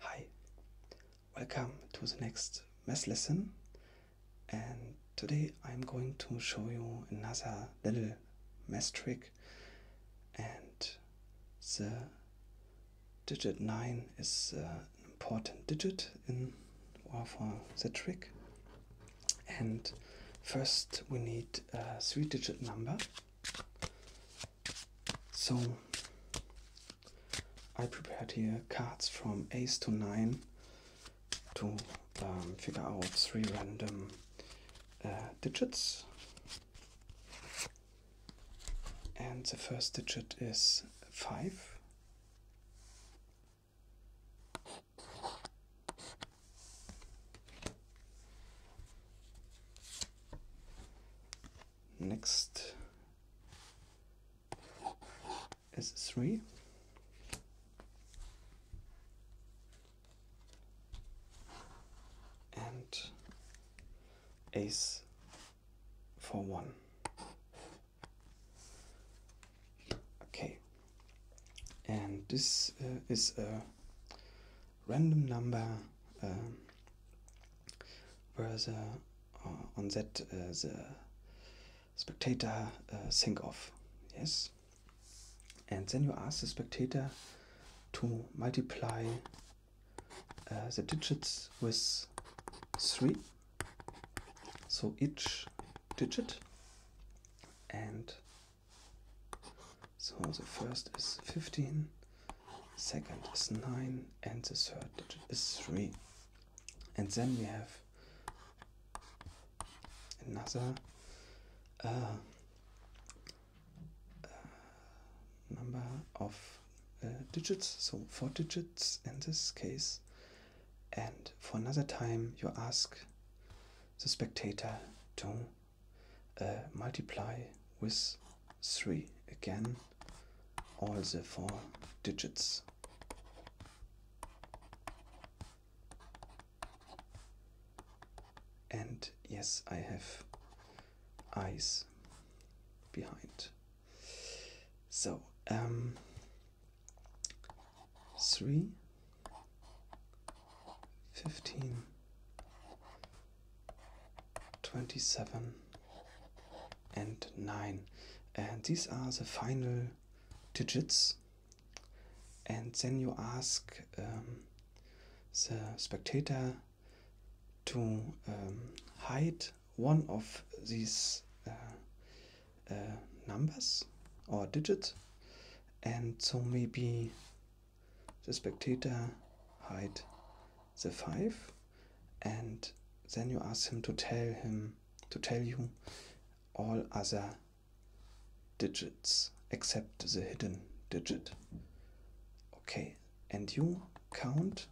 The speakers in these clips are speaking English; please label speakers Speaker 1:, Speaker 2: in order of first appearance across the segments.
Speaker 1: Hi, welcome to the next math lesson and today I'm going to show you another little math trick and the digit 9 is uh, an important digit in uh, for the trick and first we need a three digit number so I prepared here cards from ace to nine to um, figure out three random uh, digits. And the first digit is five next is 3 and ace for 1 okay and this uh, is a random number um, where the, uh, on that uh, the spectator think uh, of. Yes? And then you ask the spectator to multiply the digits with 3. So each digit and so the first is 15, second is 9, and the third digit is 3. And then we have another uh, uh, number of uh, digits, so four digits in this case. And for another time, you ask the spectator to uh, multiply with 3 again all the four digits. And yes, I have eyes behind. So, um, three, fifteen, 27 and 9 and these are the final digits and then you ask um, the spectator to um, hide one of these uh, uh, numbers or digits and so maybe the spectator hide the five and then you ask him to tell him to tell you all other digits except the hidden digit okay and you count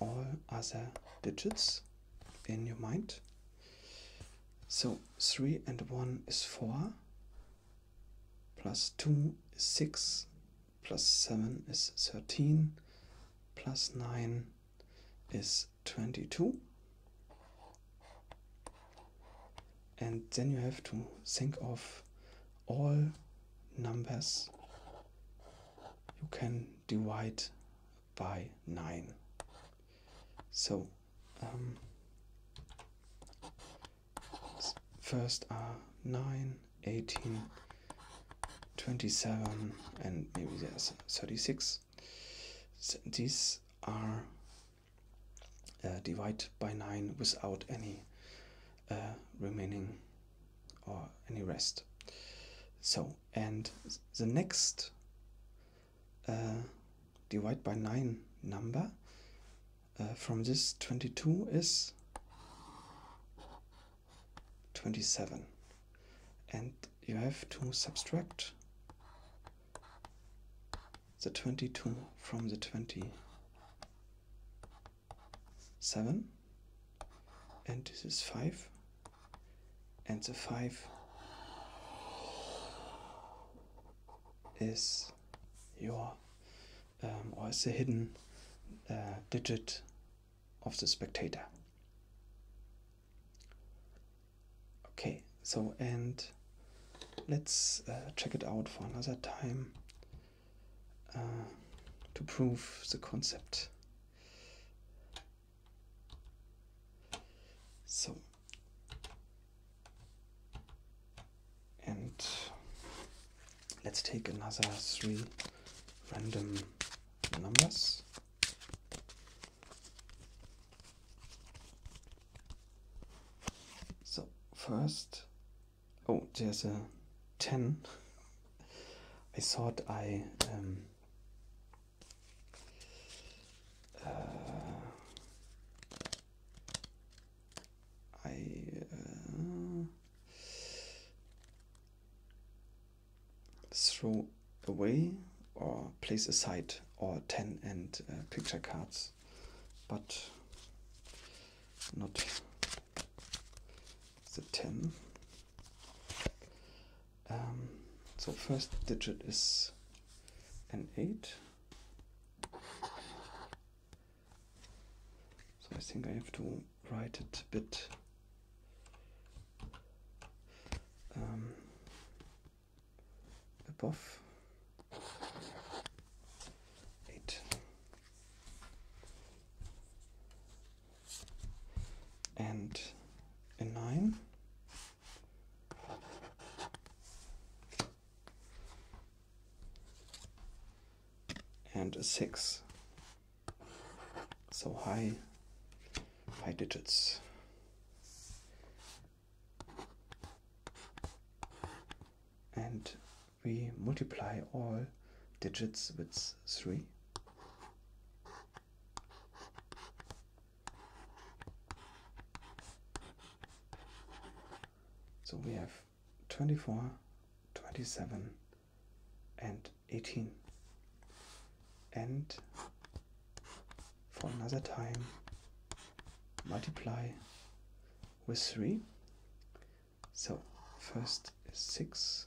Speaker 1: all other digits in your mind so 3 and 1 is 4, plus 2 is 6, plus 7 is 13, plus 9 is 22. And then you have to think of all numbers you can divide by 9. So um, first are 9, 18, 27, and maybe there's 36. these are uh, divided by 9 without any uh, remaining or any rest. So, and the next uh, divide by 9 number uh, from this 22 is 27 and you have to subtract the 22 from the 27 and this is 5 and the 5 is your um, or is the hidden uh, digit of the spectator okay so and let's uh, check it out for another time uh, to prove the concept so, and let's take another three random numbers. So first, oh, there's a 10. I thought I um, uh, I uh, throw away or place aside all 10 and uh, picture cards, but not the 10. Um, so first digit is an 8. So I think I have to write it a bit um, above. 8 and a 9. And a 6. So high, high digits. And we multiply all digits with 3 so we have 24, 27, and 18. And for another time, multiply with 3. So first 6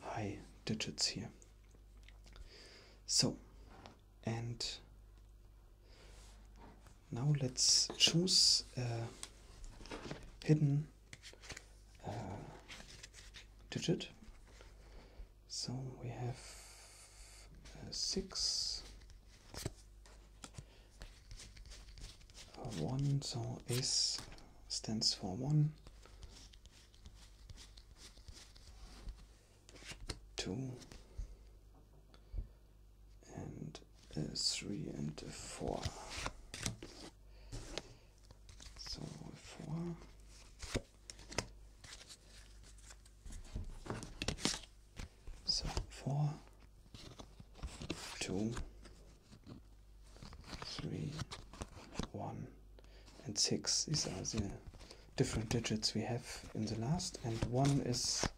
Speaker 1: high digits here. So, and now let's choose a hidden uh, digit. So we have uh, six, uh, one, so S stands for one, two and three and a four. So four. So four, two, three, one, and six. These are the different digits we have in the last, and one is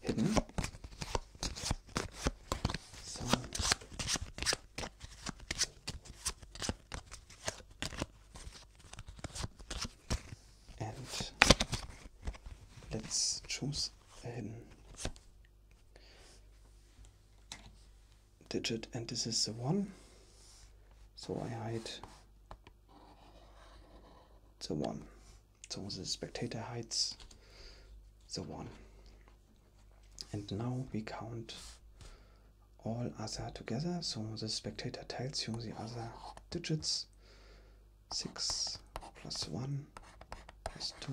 Speaker 1: hidden. and let's choose hidden digit and this is the one so I hide the one so the spectator hides the one and now we count all other together so the spectator tells you the other digits 6 plus 1 plus 2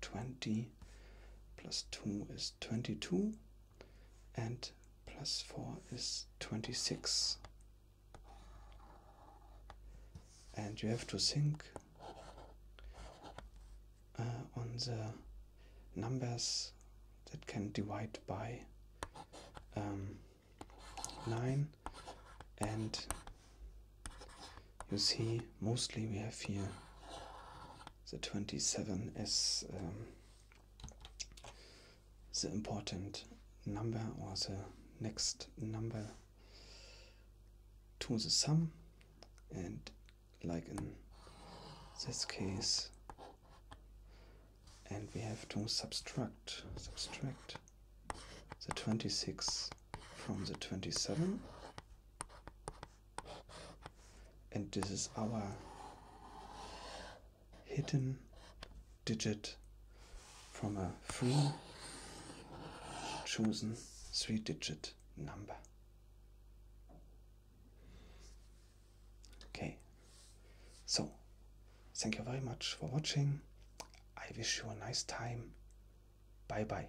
Speaker 1: 20 plus 2 is 22 and plus 4 is 26 and you have to think uh, on the numbers that can divide by um, 9 and you see mostly we have here the 27 is um, the important number or the next number to the sum and like in this case and we have to subtract subtract the 26 from the 27 and this is our hidden digit from a free chosen three digit number. Okay, so thank you very much for watching. I wish you a nice time. Bye bye.